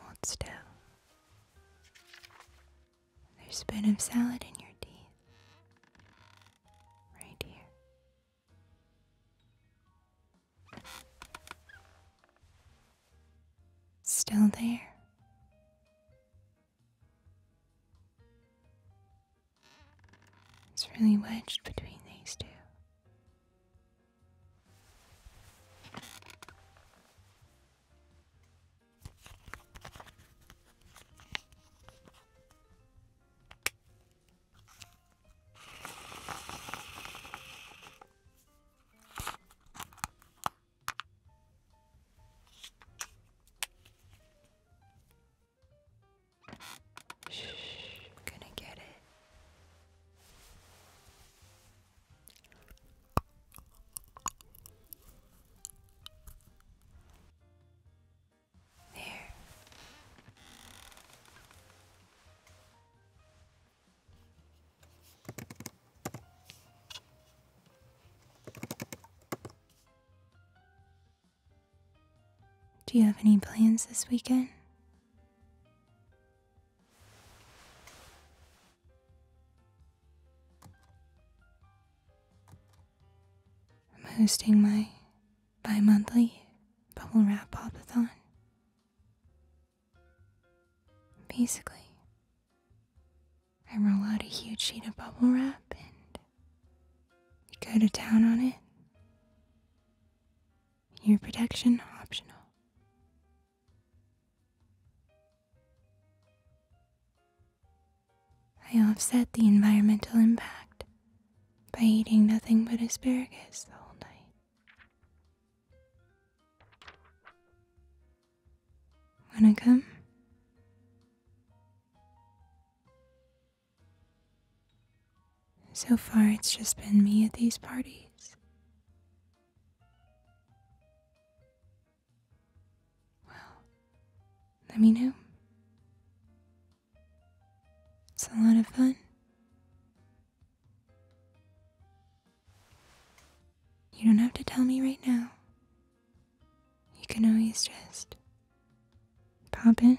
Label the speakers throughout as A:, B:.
A: Hold still. There's a bit of salad in your teeth. Right here. Still there? It's really wedged between these two. Shh, I'm gonna get it. Do you have any plans this weekend? I'm hosting my bi monthly bubble wrap popathon. Basically, I roll out a huge sheet of bubble wrap and you go to town on it. Your protection optional. I offset the environmental impact by eating nothing but asparagus the whole night. Wanna come? So far, it's just been me at these parties. Well, let me know. It's a lot of fun. You don't have to tell me right now. You can always just pop in.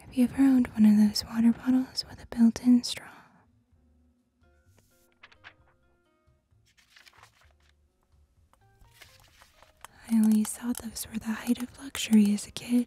A: Have you ever owned one of those water bottles with a built in straw? I always thought those were the height of luxury as a kid.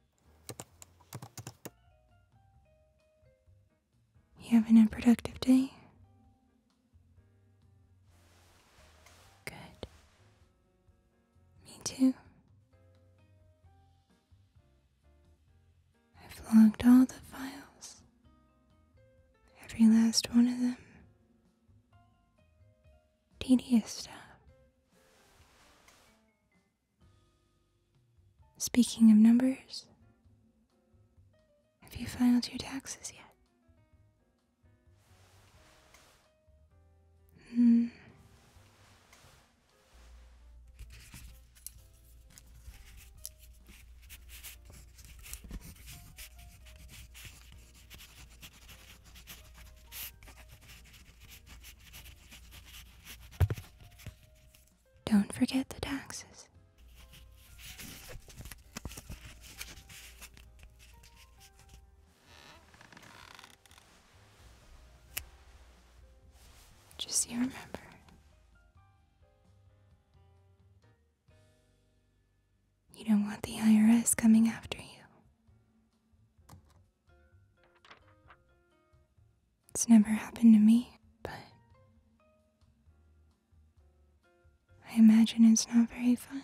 A: You having a productive day? Good. Me too. I've logged all the files, every last one of them. Tedious stuff. Speaking of numbers, have you filed your taxes yet? Hmm. Don't forget the taxes. Just you remember. You don't want the IRS coming after you. It's never happened to me, but I imagine it's not very fun.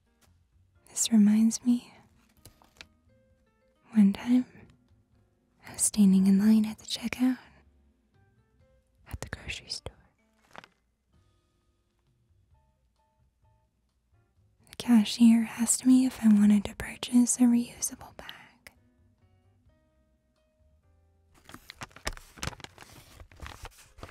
A: This reminds me. One time, I was standing in line at the checkout at the grocery store. The cashier asked me if I wanted to purchase a reusable bag.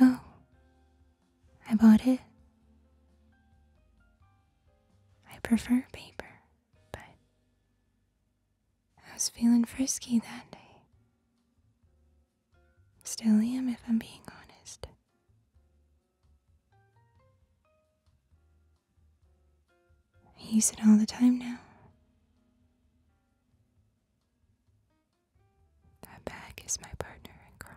A: Oh, I bought it. I prefer paper, but I was feeling frisky that day. Still am, if I'm being honest. I use it all the time now. That bag is my partner in crime.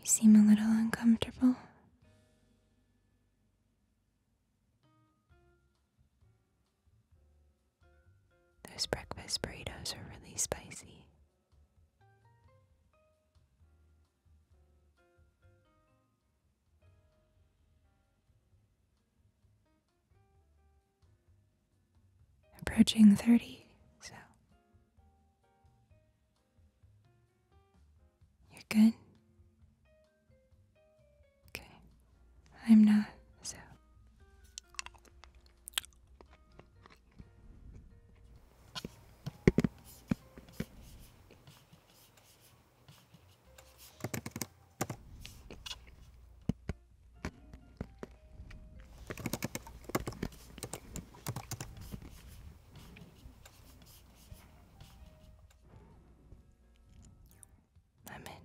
A: You seem a little uncomfortable. Those breakfast burritos are really spicy. Approaching 30, so you're good? Okay. I'm not, so. Lemon.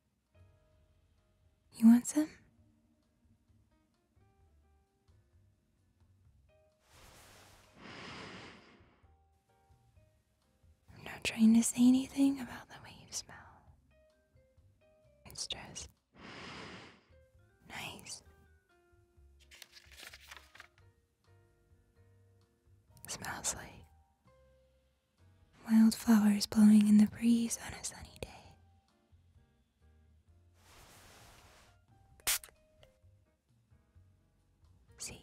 A: You want some? I'm not trying to say anything about the way you smell. It's just nice. smells like Wildflowers blowing in the breeze on a sunny day. See?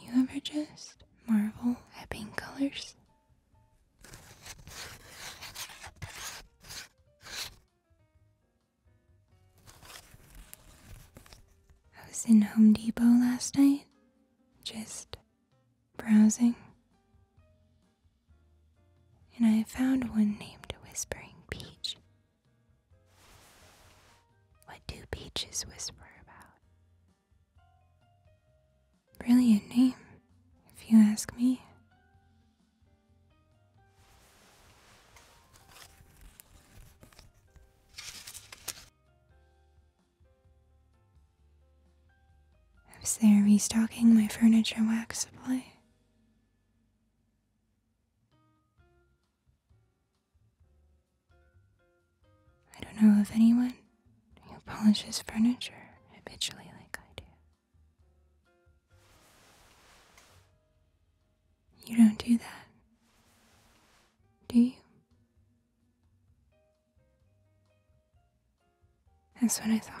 A: You ever just marvel at paint colors? I was in Home Depot last night, just browsing, and I found one named Whispering Peach. What do beaches whisper about? Brilliant name, if you ask me. I was there restocking my furniture wax supply. I don't know of anyone who polishes furniture habitually like I do. You don't do that, do you? That's what I thought.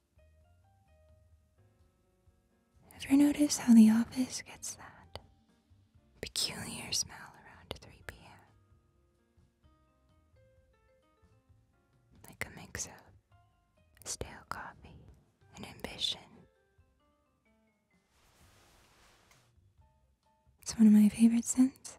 A: Ever notice how the office gets that peculiar smell around 3 p.m.? Like a mix of stale coffee and ambition. It's one of my favorite scents.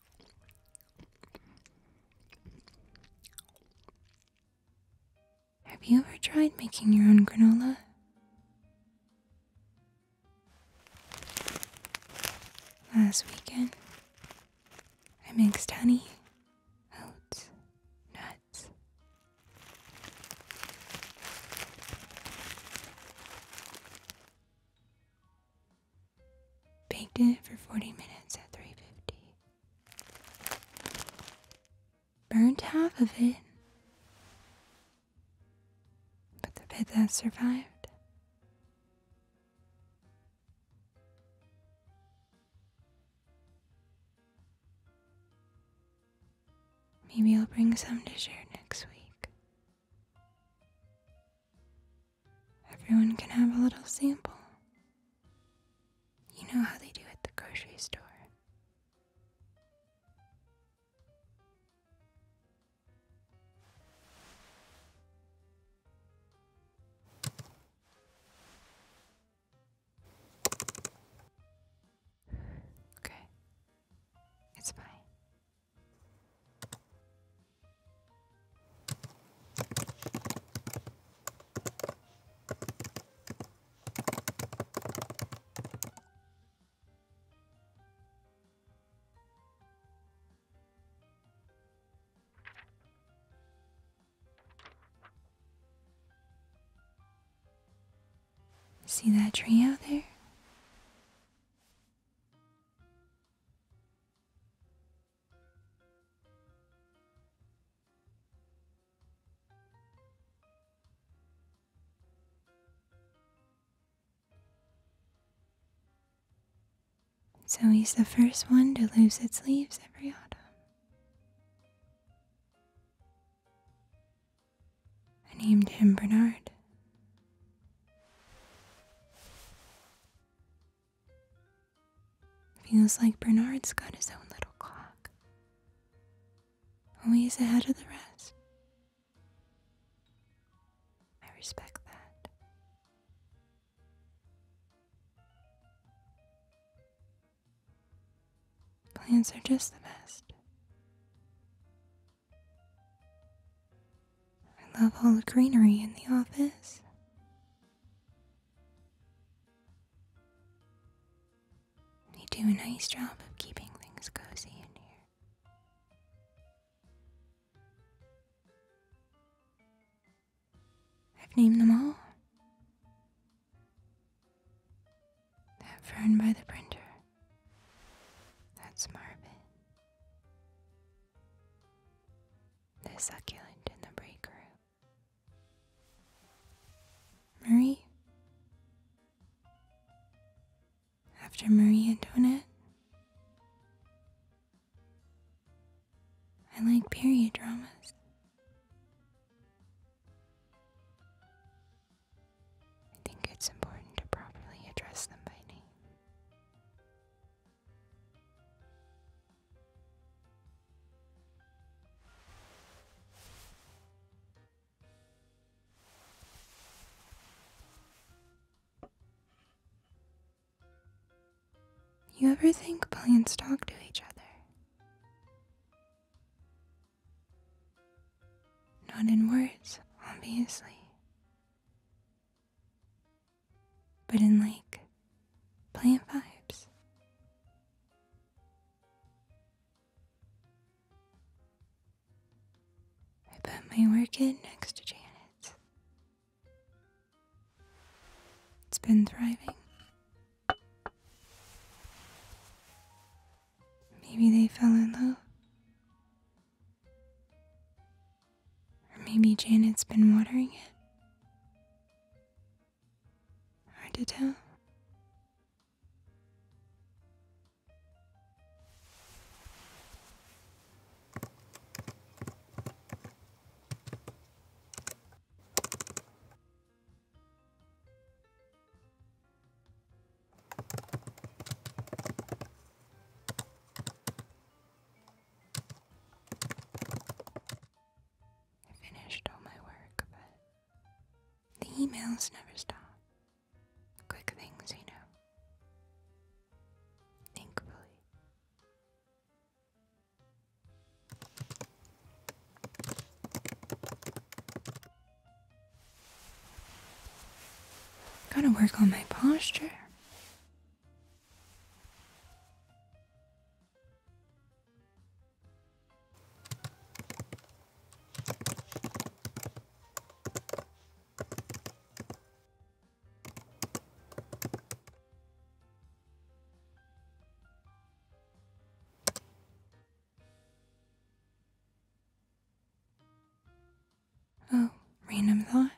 A: Have you ever tried making your own granola? Last weekend, I mixed honey, oats, nuts. Baked it for 40 minutes at 350. Burned half of it. But the bit that survived. Maybe I'll bring some to share next week. Everyone can have a little sample. You know how they do at the grocery store. Okay, it's fine. See that tree out there? So he's the first one to lose its leaves every autumn. I named him Bernard. Feels like Bernard's got his own little clock. Always ahead of the rest. I respect that. Plants are just the best. I love all the greenery in the office. You do a nice job of keeping things cozy in here. I've named them all. That fern by the printer. That's Marvin. The succulent in the break room. Marie? After Marie Antoinette? I like period dramas. I think it's important to properly address them by name. You ever think plants talk to each other? Not in words, obviously but in like plant vibes. I put my work in next to Janet. It's been thriving. Maybe they fell in love. Or maybe Janet's been watering it hard to tell. I finished all my work, but the emails never stop. Quick things, you know. Thankfully. Gotta work on my posture. Oh, random thought.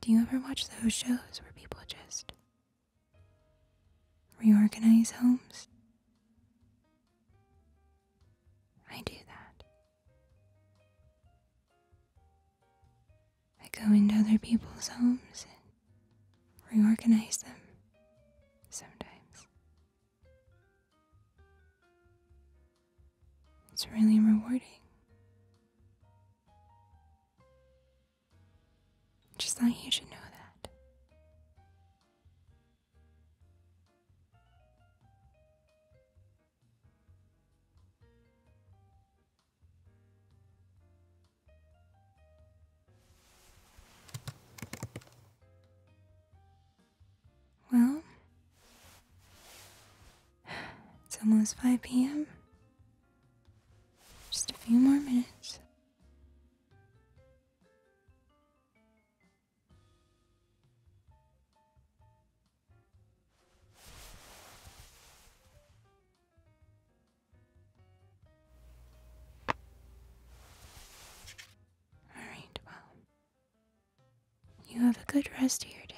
A: Do you ever watch those shows where people just reorganize homes? I do that. I go into other people's homes and reorganize them sometimes. It's really rewarding. Just thought you should know that. Well, it's almost 5 p.m. Just a few more minutes. All right, well. You have a good rest of your day.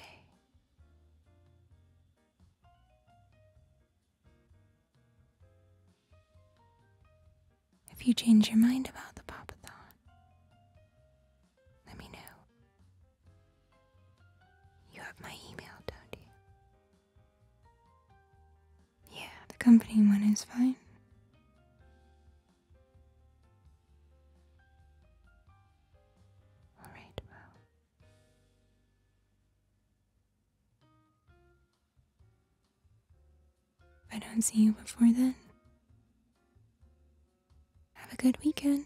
A: If you change your mind about the Papathon, let me know. You have my email, don't you? Yeah, the company one is fine. All right, well. If I don't see you before then, have a good weekend.